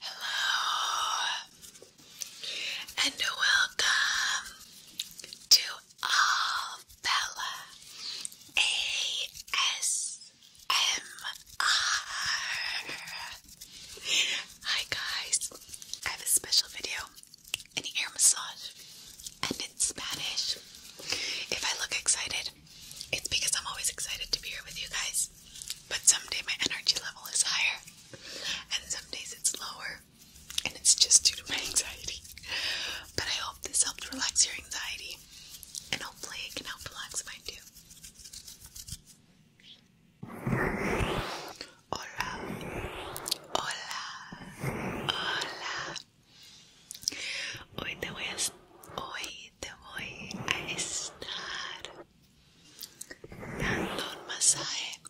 Hello and welcome to all ASMR. Hi guys, I have a special video, an air massage, and in Spanish. If I look excited, it's because I'm always excited to be here with you guys, but someday my energy level is higher, and some days it's lower, and it's just due to my anxiety. But I hope this helped relax your anxiety, and hopefully it can help relax mine too. Hola, hola, hola, Hoy te voy a, hoy te voy a estar dando un masaje,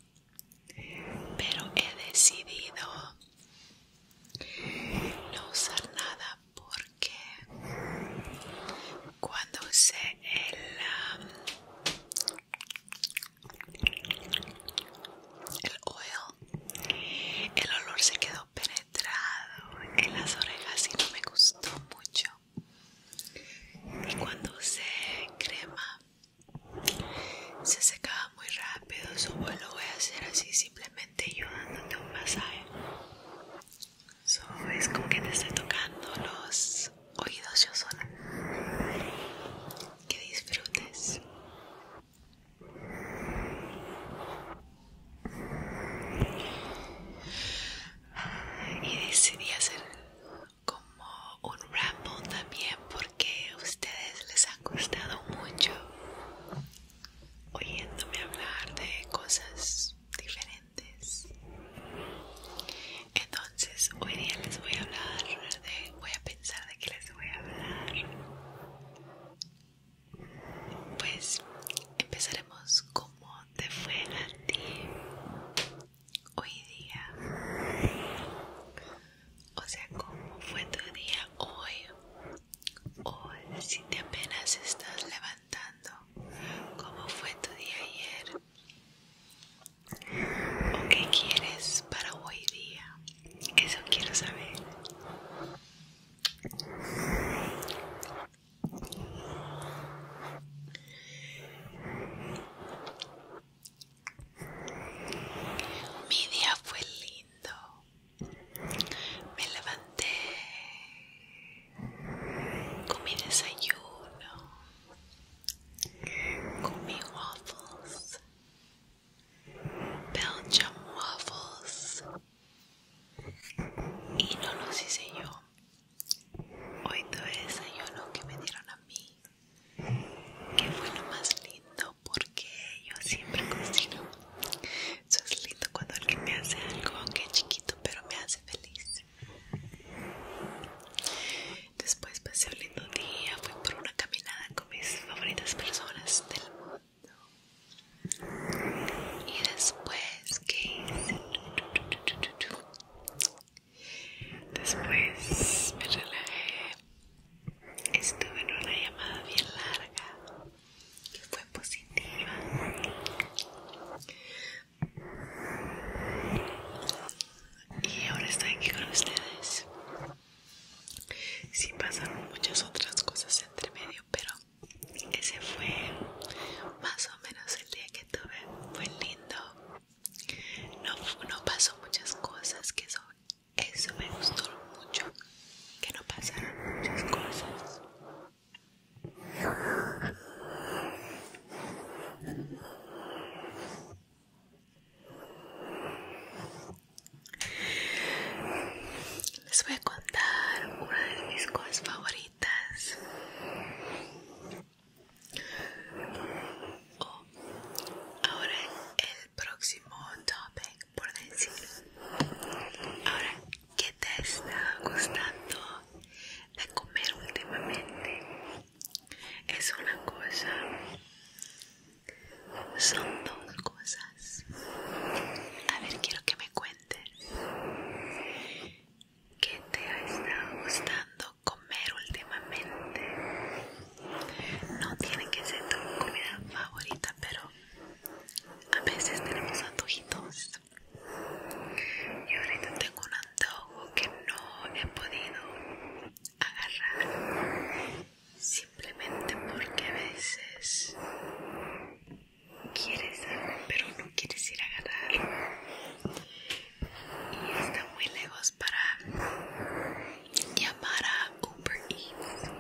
pero he decidido no usar nada porque cuando usé el, el oil el olor se quedó penetrado en las orejas y no me gustó mucho. Y cuando se crema, se secaba muy rápido. Su vuelo voy a hacer así, simplemente yo dándote un masaje. So, es como que te estoy tocando los oídos yo sola. Que disfrutes. Y decidí hacer como un ramble también porque a ustedes les han gustado mucho oyéndome hablar de cosas diferentes. Entonces hoy día les voy a hablar de, voy a pensar de que les voy a hablar pues empezaremos como te fue a ti hoy día. O sea, cómo fue tu día hoy. O si te apenas estás levantando, cómo fue tu día ayer. ¿O qué quieres para hoy día? Eso quiero saber. Mi día fue lindo. Me levanté con mi desayuno, con waffles, belgium waffles y no lo hice yo. Hoy tuve desayuno que me dieron a mí, que fue lo más lindo porque yo siempre cocino. Eso es lindo cuando alguien me hace algo, aunque chiquito, pero me hace feliz. Después pasé un lindo día, fui por una caminada con mis favoritas personas del mundo y después que después me relajé estuve en una llamada bien larga que fue positiva y ahora estoy aquí con ustedes si sí pasaron muchas otras cosas entre medio pero ese fue más o menos el día que tuve. Fue lindo. No, pasó muchas cosas, que eso me gustó mucho. Que no pasaron muchas cosas les voy a contar una de mis cosas favoritas oh, ahora el próximo topic por decir ahora ¿qué te está gustando de comer últimamente? es una cosa son dos cosas a ver quiero que me cuentes qué te ha estado gustando comer últimamente. No tiene que ser tu comida favorita, pero a veces tenemos antojitos. Y ahorita tengo un antojo que no he podido agarrar simplemente porque a veces quieres, pero no quieres ir a ganar Y está muy lejos para llamar a Uber Eats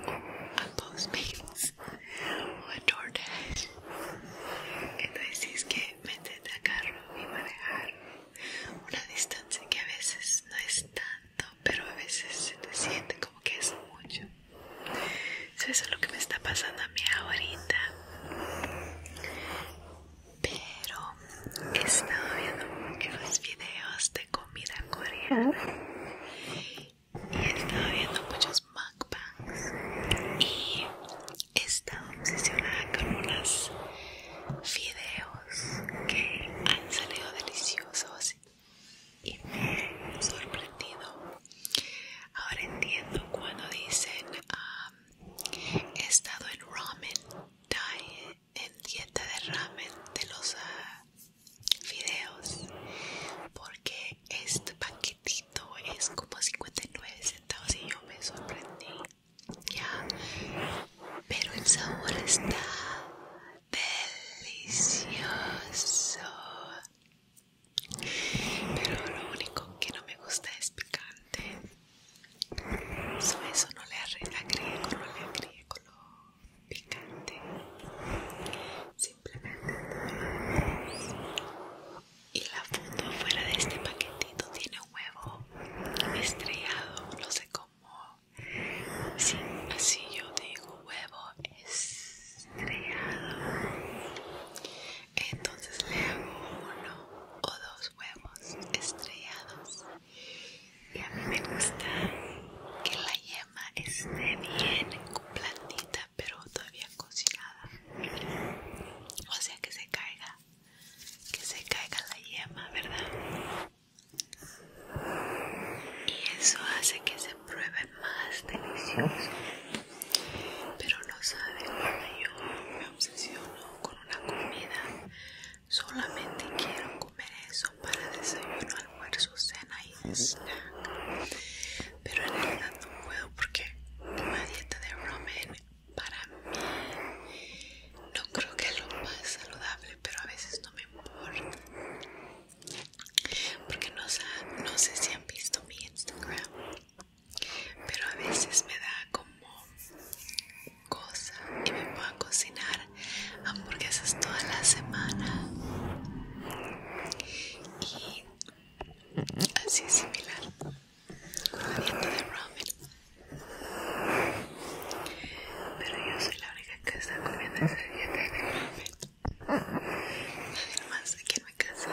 a Postmates o a DoorDash. Que decís que metete a carro y manejar una distancia que a veces no es tanto, pero a veces se te siente como que es mucho eso es lo que me está pasando a mí ahorita. Pero he estado viendo muchos videos de comida coreana y he estado viendo muchos mukbangs y he estado obsesionada con unos videos que han salido deliciosos y me he sorprendido. Ahora entiendo cuando dicen he estado en ramen diet, en dieta de ramen de los videos ah, porque este paquetito es como 59 centavos y yo me sorprendí. Ya, pero el sabor está delicioso. Pero lo único que no me gusta es picante. eso no le agrego, no le lo picante. Simplemente Y la foto fuera de este paquetito tiene huevo estrellado, no sé cómo. Sí, así yo digo huevo estrellado entonces le hago uno o dos huevos estrellados y a mí me gusta que la yema esté bien platita pero todavía cocinada o sea que se caiga que se caiga la yema verdad y eso hace que se pruebe más delicioso pero no sabe cuando yo me obsesiono con una comida solamente quiero comer eso para desayuno almuerzo cena y snack pero en realidad no puedo porque una dieta de ramen para mí no creo que es lo más saludable pero a veces no me importa porque no, sé si han visto mi Instagram, pero a veces me da como cosa que me va a cocinar hamburguesas toda la semana y así es similar con la dieta de ramen pero yo soy la única que está comiendo esa dieta de ramen más aquí casa.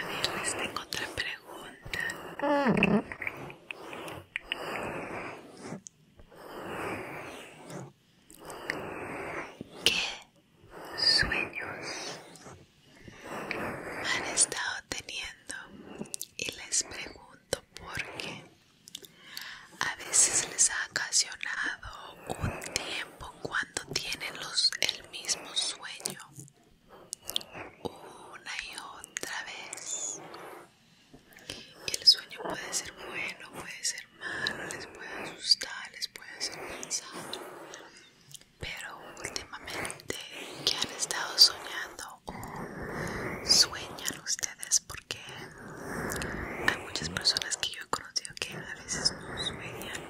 A ver, les tengo otra pregunta. ¿Qué sueños han estado teniendo? Y les pregunto porque a veces les ha ocasionado un tiempo cuando tienen los, el mismo sueño una y otra vez. el sueño puede ser bueno, puede ser malo, les puede asustar, les puede hacer pensar. Pero últimamente que han estado soñando o sueñan ustedes porque hay muchas personas que yo he conocido que a veces no sueñan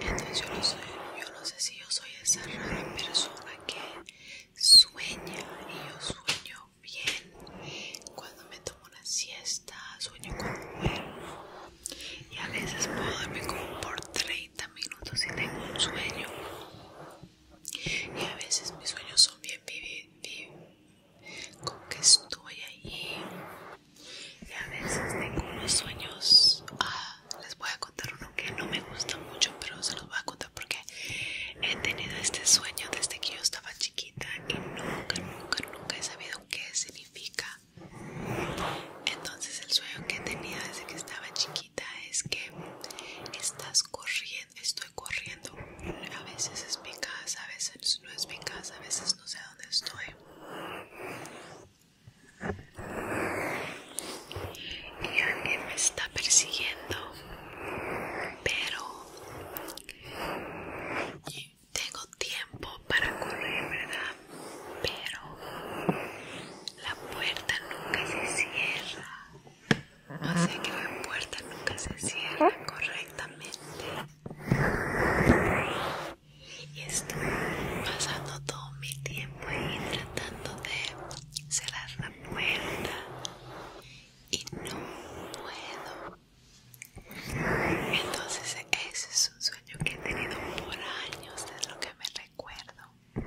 entonces yo no, sé si yo soy esa rara persona que sueña y yo sueño bien cuando me tomo una siesta sueño conmigo y a veces puedo dormir como por 30 minutos y tengo un sueño y a veces mis sueños son bien vividos, como que estoy ahí Y a veces tengo unos sueños. Ah, les voy a contar uno que no me gusta mucho, pero se los voy a contar porque he tenido este sueño desde que yo estaba chiquita y nunca, nunca, nunca he sabido qué significa. Entonces, el sueño que he tenido desde que estaba chiquita es que estás corriendo, estoy corriendo. A veces es mi casa, a veces no es mi casa, a veces no sé dónde estoy. Y alguien me está persiguiendo, pero tengo tiempo para correr, ¿verdad? Pero la puerta nunca se cierra. O sea que la puerta nunca se cierra ¿Ah? correctamente. Y estoy pasando todo mi tiempo ahí tratando de cerrar la puerta. Y no puedo. Entonces ese es un sueño que he tenido por años, es lo que me recuerdo. Hay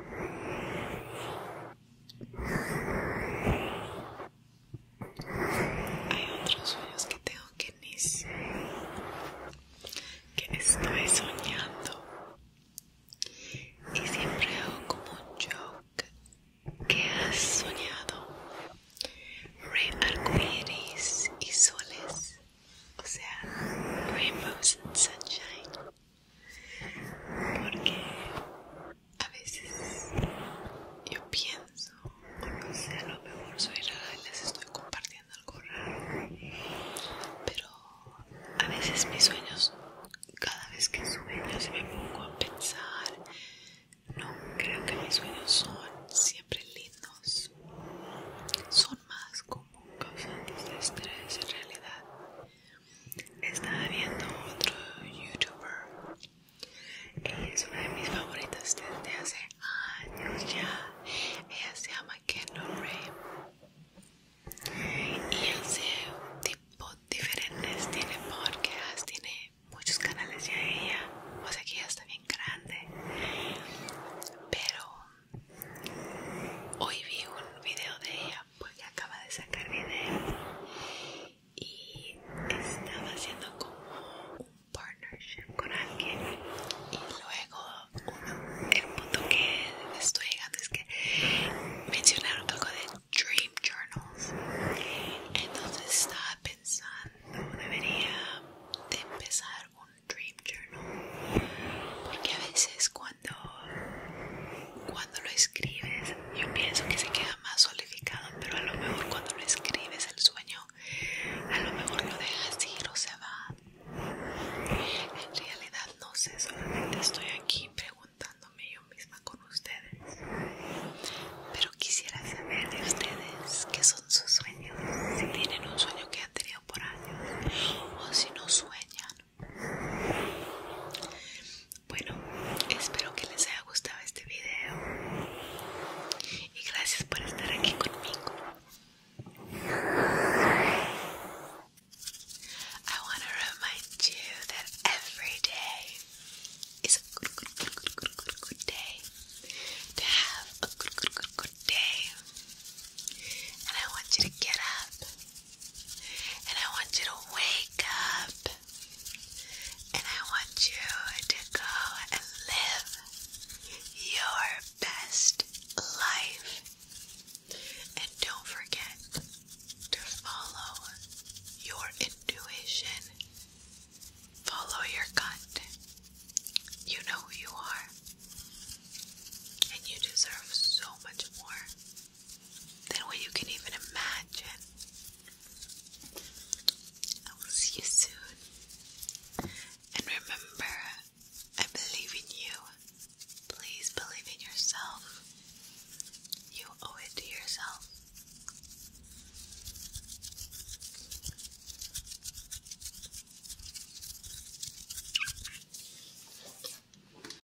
otros sueños que tengo que ni que estoy soñando y siempre hago como un joke que has soñado arcoíris y soles o sea rainbows and sunshine porque a veces yo pienso, no sé, a lo mejor soy rara y les estoy compartiendo algo raro, pero a veces mis sueños, cada vez que sueño, se me pongo a pensar, no creo que mis sueños son siempre lindos, son más como causantes de estrés en realidad estaba viendo otro youtuber es una de mis favoritas desde hace años ya ella se llama Kendall y hace tipo diferentes tiene podcasts tiene muchos canales ya ella o sea que ya está bien grande pero hoy vi un video de ella porque pues acaba de sacar video y estaba haciendo como un partnership con alguien y luego el punto que estoy llegando es que mencionaron algo de dream journals entonces estaba pensando debería de empezar un dream journal porque a veces cuando cuando, lo escribes, yo pienso que se queda más solidificado, pero a lo mejor cuando lo escribes el sueño, a lo mejor lo dejas ir o se va. En realidad no sé, solamente estoy aquí preguntándome yo misma con ustedes. Pero quisiera saber de ustedes qué son sus sueños, si tienen un sueño que han tenido por años o si no sueñan bueno, espero que les haya gustado este video y gracias por estar aquí conmigo. I want to remind you that every day is a good, good, good, good, good, good day to have a good, good, good, good day, and I want you to get up. And I want you to wake up. And I want you to go and live your best life. And don't forget to follow your intuition. Follow your gut. You know who you are. And you deserve so much more than what you can even imagine. I will see you soon. And remember, I believe in you. Please believe in yourself. You owe it to yourself.